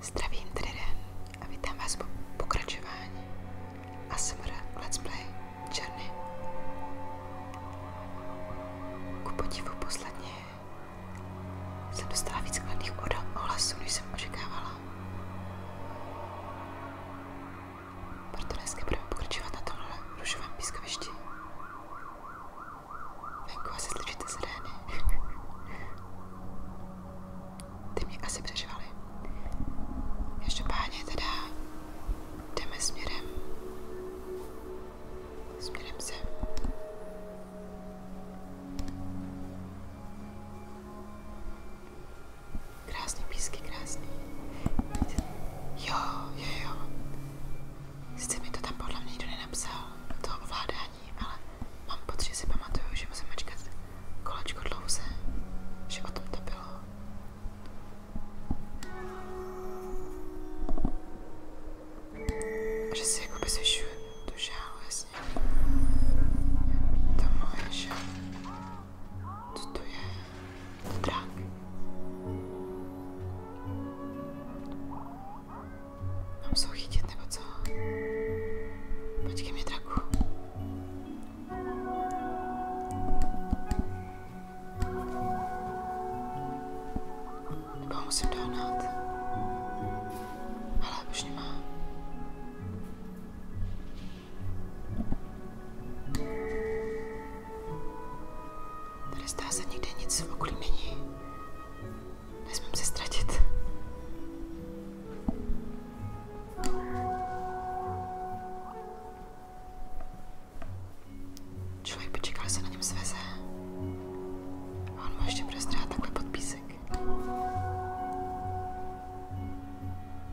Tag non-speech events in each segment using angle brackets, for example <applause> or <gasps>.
Zdravím tedy den a vítám vás po pokračování ASMR Let's Play Journey. Ku podivu posledně jsem dostala víc kladných ohlasů, než jsem očekávala. Proto dneska budeme pokračovat na tomhle rušovém pískovišti. Venku asi slyšíte sirény. <laughs> Ty mě asi přežvali. Každopádně teda jdeme směrem. Směrem sem. Krásný písky, krásný. Jo, jo, jo. Sice mi to tam podle mě nikdo nenapsal, to ovládání, ale mám pocit, že si pamatuju, že musím mačkat kolečko dlouze, že o tom to bylo. Že si jakoby zvyšuju tu žálu, jasně. To moje žálu. Co to je? To drak. Mám se ho chytit nebo co? Počkej mi draku. Nebo ho musím dohnat. Ale už nemá. Tady zdá se nikde nic v okolí není. Nesmím se ztratit. Člověk by čekal, se na něm sveze. A on mu ještě bude takhle pod písek.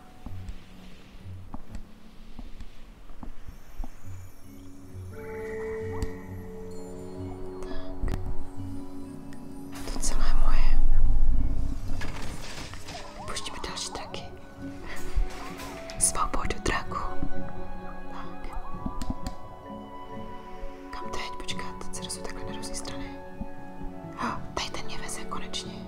Tak. To moje. Pustíme další traky. Svobodu traku. Tak. Kam teď? Počkat, teď se rozhodl na různé strany. A, tady ten mě konečně.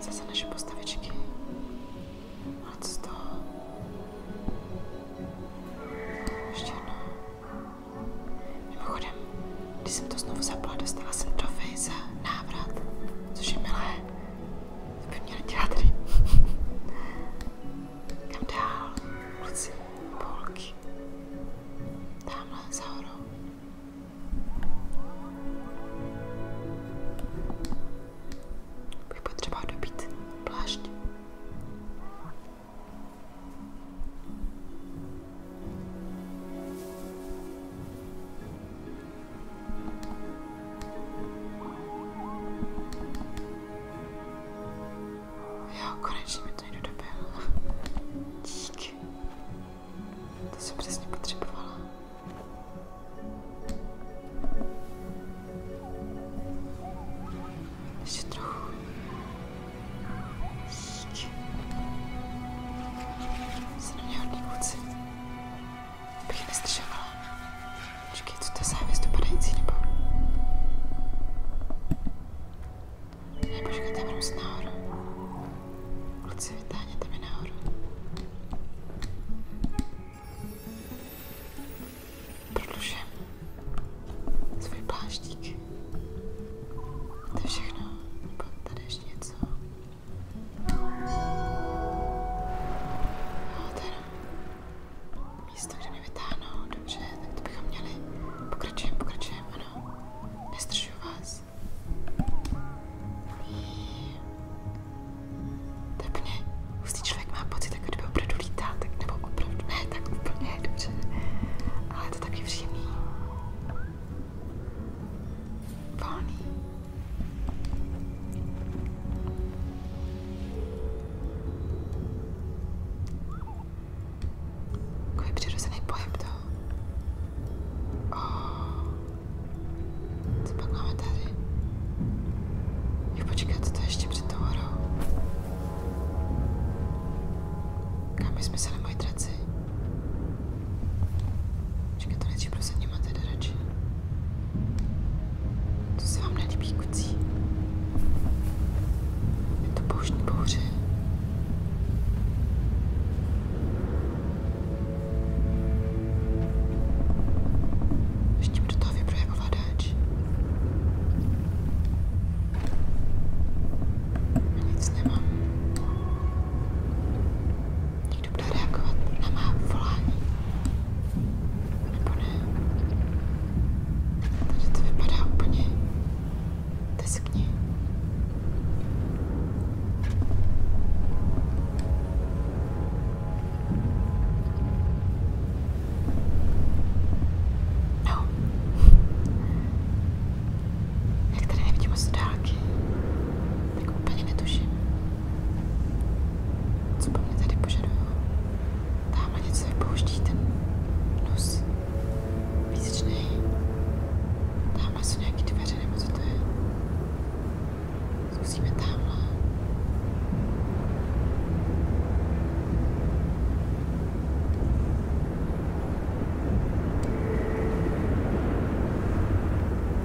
Zase naše postavičky. Ale co z toho? Ještě jedno. Mimochodem, když jsem to znovu zapla, dostala jsem trofej za návrat, což je milé. To by měli dělat kam dál? Ulici Polky. Tamhle za horou. Bych potřeboval dobít plášť. Jo, konečně mi to někdo dobil. Díky. To jsem přesně potřebovala. Ještě trochu. Díky. Jsi na mě hodný kluci. Bych nestržovala. Počkej, co to je závěs dopadající nebo... Ne, počkejte, mi jdu nahoru. Kluci, vytáhněte mi nahoru. Prodlužím svůj pláštík. To je všechno. Nebo tady ještě něco. No, teda místo, kde mi vytáhnou. Dobře, tak to bychom měli. Pokračujeme, pokračujeme, ano. Nestržuju vás. Tepně, hustý člověk má pocit, jako kdyby opravdu lítá, tak nebo opravdu ne, tak úplně, dobře. Ale je to taky příjemný. Volný. Jako je přirozený pohyb toho. Oh. Co pak máme tady? Jo, počkat, to je ještě před tou horou. Kam my jsme se na moji traci? Počkat, to nejdřív prosadíme teda radši. To se vám nelíbí, obstrukcí. Je to pouštní bouře. Ještě do toho vybraje ovladač. A nic nemám. Někdo bude reagovat na má volání. Nebo ne. Tady to vypadá úplně Deskni. No. Jak tady nevidím moc dálky, tak úplně netuším. Co po mně tady požadují? Tamhle něco vypouští ten nos. Písečný. Tam asi nějaký dveře, nebo co to je? Zkusíme tamhle.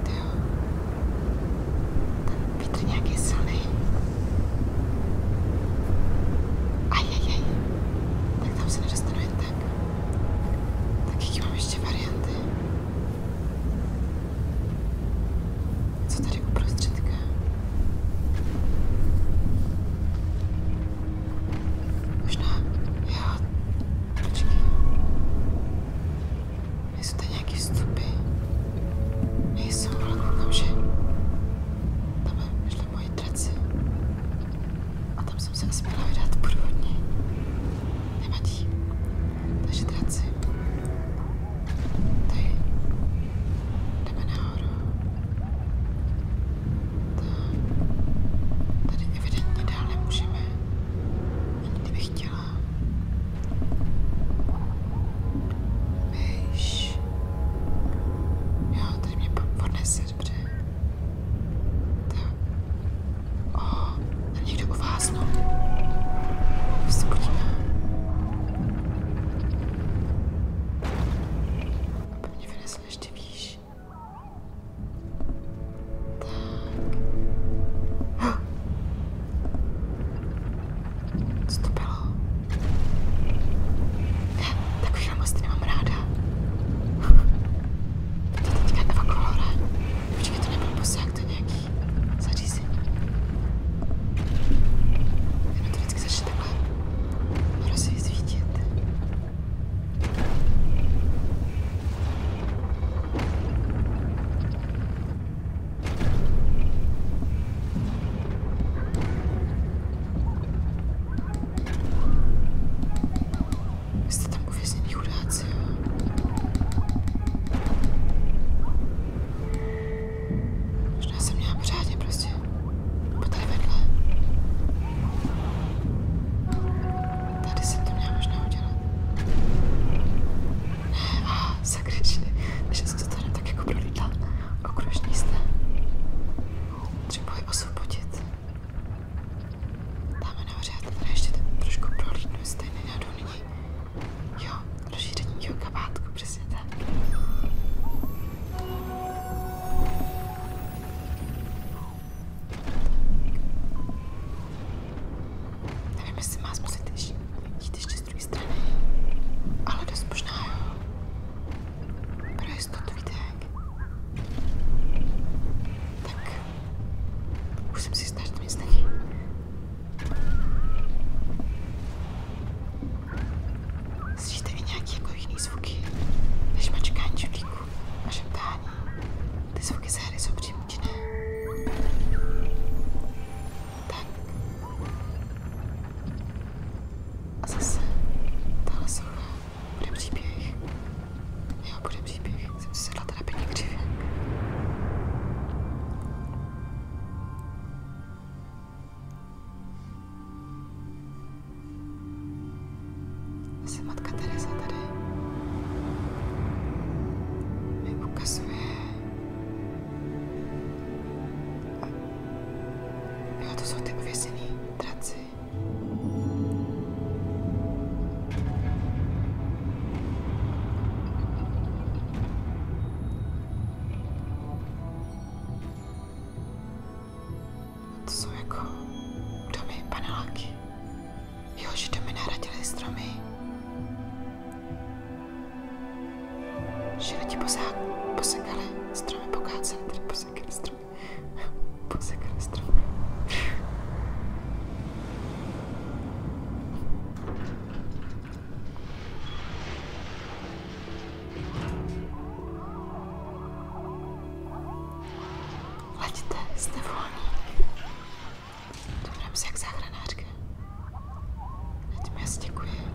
Tam vítr nějaké silný. Aj, aj, aj. Tak tam se nedostanu jen tak. Tak jaký mám ještě varianty? Co tady uprostředka? Možná, jo, počkej. Nejsou tady nějaký vstupy. Nejsou, ale koukám, že... Tam je, na moji A tam jsem se nesměla vydat průvodní. Nevadí. Takže traci. Tady. Jdeme nahoru. Tam. Tady evidentně dál nemůžeme. Ani kdybych chtěla. Víš. Ježíš. Jo, teď mě odnese, dobře. Tak. O, oh, tam někdo uváznul. No. Se podívá. Aby mě vynesl ještě výš. Tak. <gasps> Co to bylo? No. Ne, tak už moc nemám ráda. To je teďka Eva Kolora. Počkej, to nebyl posák, to nějaký zařízení. Jenom to vždycky začne takhle rozsvítit. Jste tam uvězněný chudáci, jo? Možná jsem měla pořádně prostě. Po tady vedle. Tady jsem to měla možná udělat. Ne, a sakryčně, že jsem to tady tak jako prolítla. Okružní jste třeba ji osvobodit. Dáme nahořád, ale ještě trošku prohlídnu, jestli tady nenadu nyní. Jo, rozšíření toho kabátku, přesně tak. Nevím, jestli má zkusit jít ještě z druhé strany, ale dost možná jo. Pro jistotu víte jak. Tak. Už jsem si jistá, že to nic není. Slyšíte i nějaký jako jiný zvuky, než mačkání žudlíku a šeptání. Ty zvuky z hry jsou přímutiné. Tak. A zase. Tahle socha. Bude příběh. Jo, bude příběh. Jsem si sedla teda pěkně křivě. Asi matka Teresa tady mi ukazuje Jo, to jsou ty uvězený draci. To jsou jako domy paneláky. Jo, že domy nahradily stromy. Široti posák, posekali stromy, pokáceli, tedy posekali stromy. <laughs> Posekali stromy. Leďte, jste volní. Dobrám se jak záchranářka. Ať mi děkuji.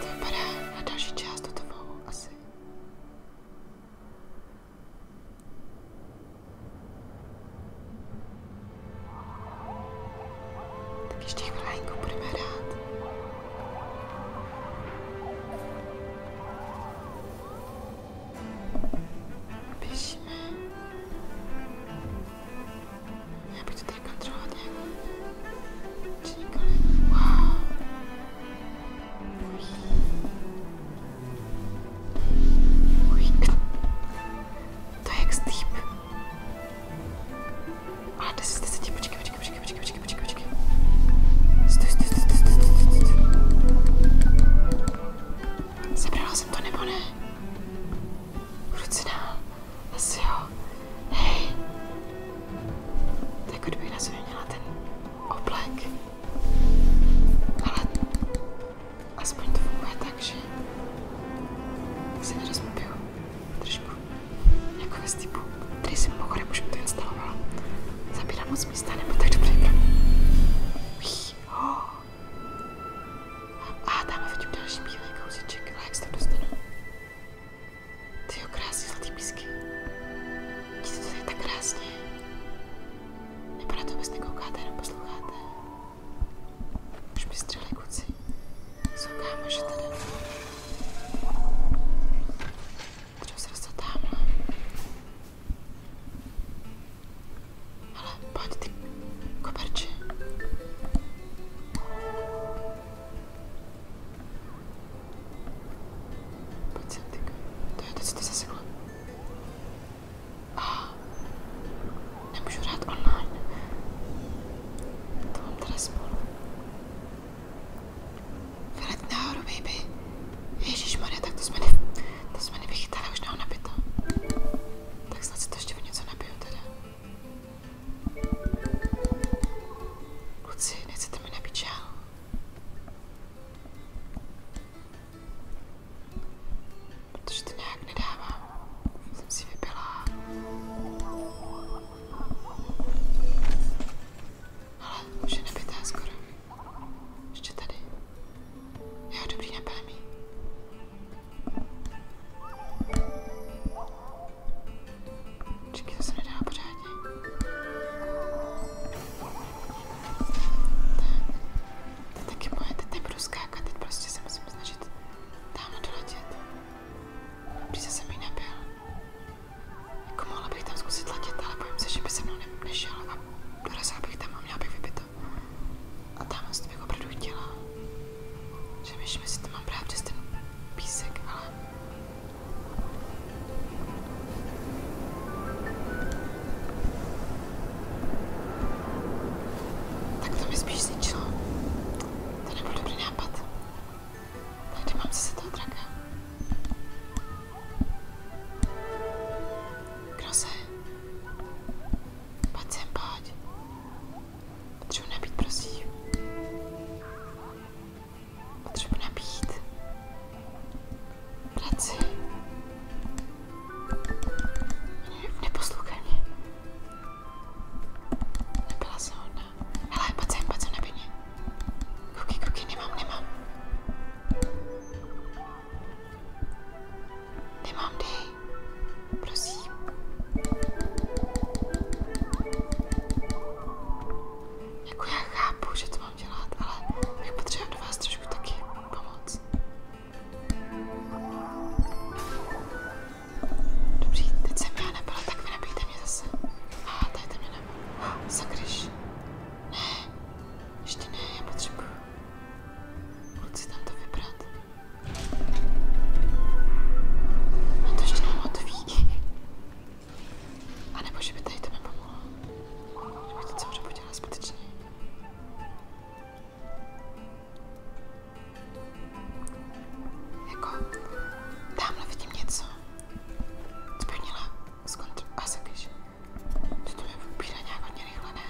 Dobré, na další část to tebou asi. Tak ještě chvilinku budeme hrát. Běžíme. Já budu tady kontrolovat nějakou činníka. Wow. Uj. Uj. To je jak steep. Ale 10 z 10, počkej, počkej, počkej, počkej, počkej, počkej, počkej. Stoj, stoj, stoj, stoj, stoj, stoj, stoj. Zabrala jsem to nebo ne? Ruce dál. Asi jo. Hej. Tak kdybych na sobě měla ten oblek. Ale aspoň to funguje tak, že se nerozpiju trošku jako ve stypu, který si mimochodem už to instalovala. Zabírá moc místa, nebo tak dobře. Oh. A tam vidím další bílý kousíček, ale jak se tam dostanu? Tyjo, krásný zlatý písky. Vidíte, to je tak krásně. Nebo na to vůbec nekoukáte, jenom posloucháte. Už mi střeli kuci. Jsou kámoši tady. Třeba se dostat tamhle. Hele, pojď ty koberče. Pojď sem, ty. To je to, co ty zasekla. A nemůžu hrát online. To mám teda spolu. Vylet nahoru, baby. Ježišmarja, tak to jsme, ne, to jsme nevychytali, už nám nabito. Tak snad si to ještě o něco nabiju teda. Kluci, nechcete mi nabít žal? Protože to nějak nedávám. Jsem si vypila. Ale už je nabitá skoro. Ještě tady. Jo, dobrý, napámí. Počkej, to se nedá pořádně. Tak. To je taky prostě se musím snažit tamhle doletět. Když se mi nebyl. Jako mohla bych tam zkusit letět, ale bojím se, že by se mnou nešel a dorazila bych tam a měla bych vybito. A tamhle se bych jako opravdu chtěla. Že myšme si to mám právě přes ten písek, ale... Tak to mi spíš zničilo. To nebyl dobrý nápad. Tady mám zase toho draka. Kdo se? Pojď sem, pojď. Potřebuji nabít, prosím. Potřebuji nabít. Práci. Ne, neposlouchej mě. Nebyla jsem hodná. Hele, pojď sem, pojď sem, nabij mě. Kuky, kuky, nemám, nemám. Nemám dej. Prosím. Jako já chápu, že to mám dělat, ale bych potřeba do vás trošku taky pomoc. Dobrý, teď jsem já nebyla, tak vy nebijte mě zase. A ah, dajte mě nebo. Ah, <gasps> sakryš. Ne, ještě ne, já potřebuju. Kluci tam to vybrat. No to ještě nám otví. A nebo že by tady to nepomohlo. Kdyby to celou dobu dělala zbytečně. Jako, tamhle vidím něco. Co by měla skontr... A se když... To jako mě upírá nějak hodně rychle, ne?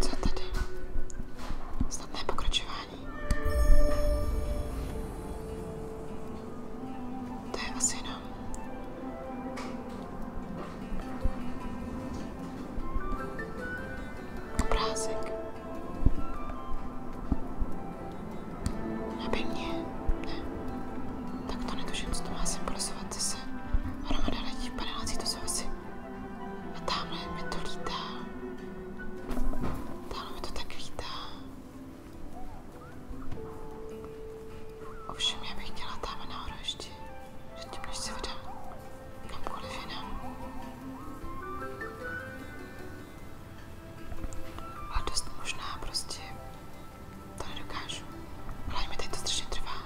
Co tady? Snadné pokračování. To je asi jenom. Obrázek. Aby mě... Ne. Tak to netuším, co to má symbolizovat zase. Hromada lidí v paneláci, to jsou asi... A tamhle mi to lítá. Tamhle mi to tak lítá. Ovšem, já bych chtěla tam nahoru ještě. Předtím, než se vydám kamkoliv jinam. A dost možná prostě to nedokážu. Ale mi tady to strašně trvá.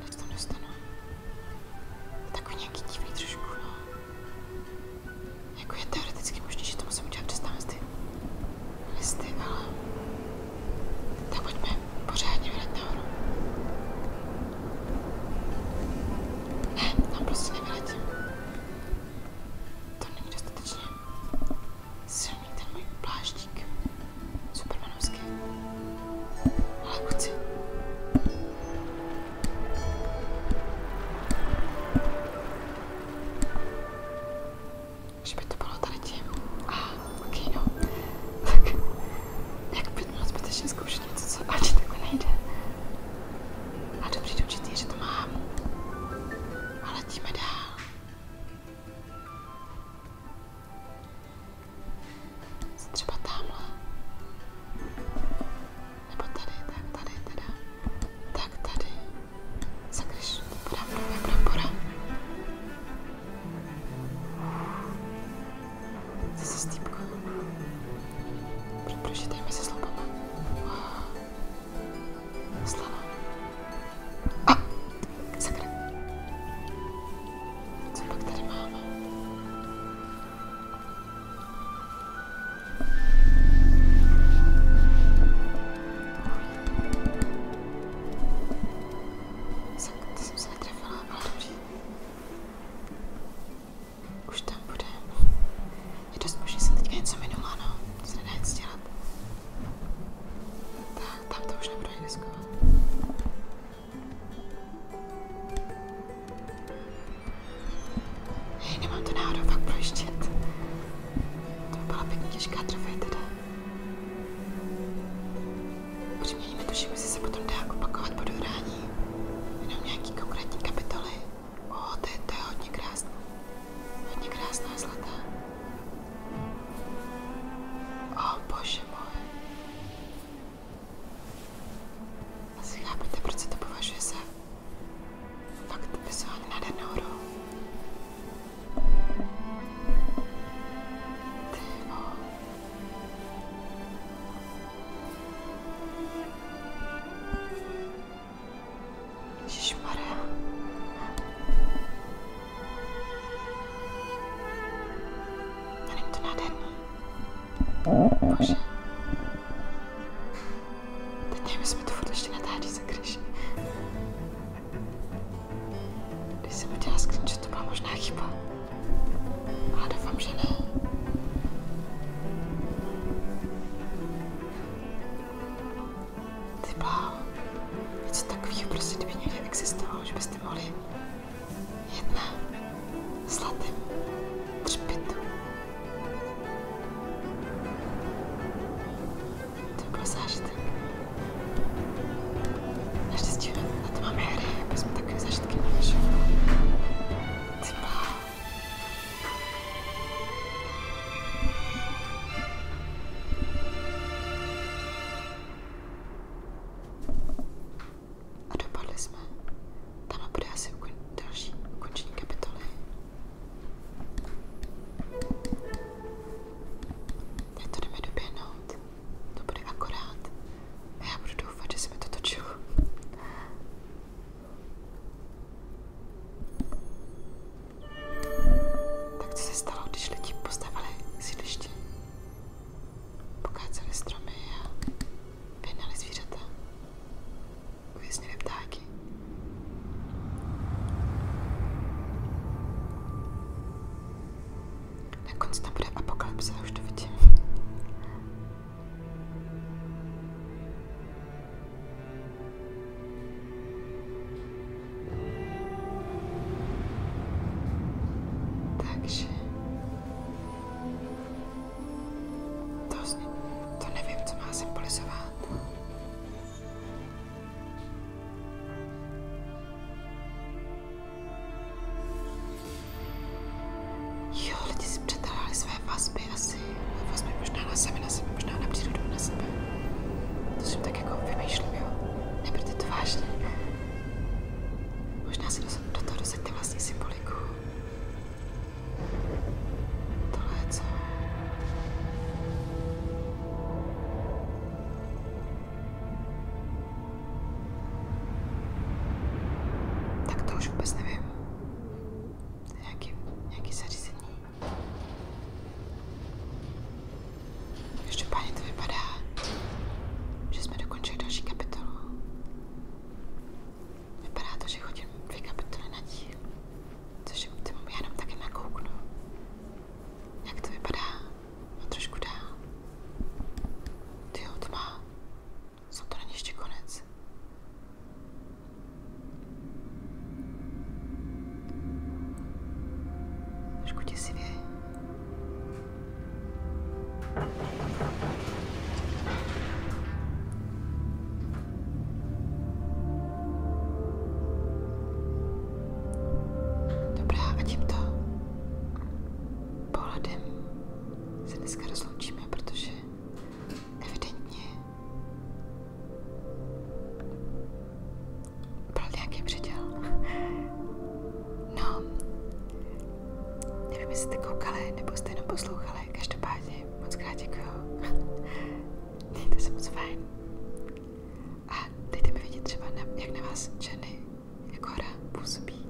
Než tam dostanu. Takový nějaký divný trošku, no. Jako je teoreticky možné, že to musím udělat přes tam listy. Listy, ale... Tak pojďme pořádně vylet nahoru. Ne, tam prostě nevyletím. To není dostatečně silný ten můj pláštík. Supermanovský. Ale chci. Že by to bylo tady tím. A, ah, ok, no. Tak, jak bych měla zbytečně zkoušet něco, co ani takhle nejde. A dobře dočetí, že to mám. A letíme dál. Co třeba tamhle? Nebo tady, tak tady teda. Tak tady. Sakryš, podám dobré brambora. Zase stýpka. Proč tady mezi sloupama? Wow. Slana. A, sakra. Co pak tady máme? Sakra, ty jsem se netrefila, ale dobře. Už tam bude. Je dost možný, jsem teďka něco minula, no. To se nedá nic dělat. Tak, tam to už nebudu ani riskovat. Hej, nemám to náhodou fakt projištět. To byla pěkně těžká trofej teda. Upřímně netuším, jestli se potom dá opakovat po dohrání. Jenom nějaký konkrétní kapitoly. O, to je, to je hodně krásná. Hodně krásná zlatá. O, bože moje. Asi chápete, proč se to považuje za fakt vizuálně nádhernou hru. Ježišmarja. Není to nádherný. Bože. Teď nevím, jestli mi to furt ještě natáčí za kryš. Když jsem udělala screenshot, to byla možná chyba. Ale doufám, že ne. Ty bláho, něco takového prostě, kdyby někde existovalo, že byste mohli jet na zlatém třpitu. To by byl zážitek. Naštěstí na to máme hry, aby jako jsme takové zážitky měli, že? Ty bláho. A dopadli jsme. Tam bude asi ukon, další ukončení kapitoly. Teď to jdeme doběhnout. To bude akorát. A já budu doufat, že se mi to točilo. Tak co se stalo, když lidi postavili sídliště? Pokáceli stromy a vyhnali zvířata. Uvěznili ptáky. Nakonec tam bude apokalypsa, už to vidím. Takže... To, to nevím, co má symbolizovat. Jo, lidi si přetáhli své své vazby asi, vazby možná na sebe, na sebe, možná na přírodu, na sebe. To jsem tak jako vymýšlím, jo. Neberte to vážně. Možná si do, do toho dosaďte vlastní symboliku. Tohle je co? Tak to už vůbec nevím. Nějaký, nějaký zařízení. Každopádně to vypadá, že jsme dokončili další kapitolu. Vypadá to, že chodím dvě kapitoly na díl, což je optimum, já jenom taky nakouknu. Jak to vypadá? A trošku dál. Tyjo, to má. Jsem to není ještě konec. Trošku děsivě. Dobrá, a tímto pohledem se dneska rozloučíme, protože Evidentně. Byl nějaký předěl. No, nevím, jestli jste koukali nebo jste jenom poslouchali. Každopádně moc krát děkuju. Mějte se moc fajn. A dejte mi vidět třeba, na, jak na vás ženy jako hra působí.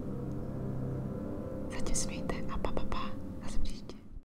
Zatím smějte a pa pa pa. Zase příště.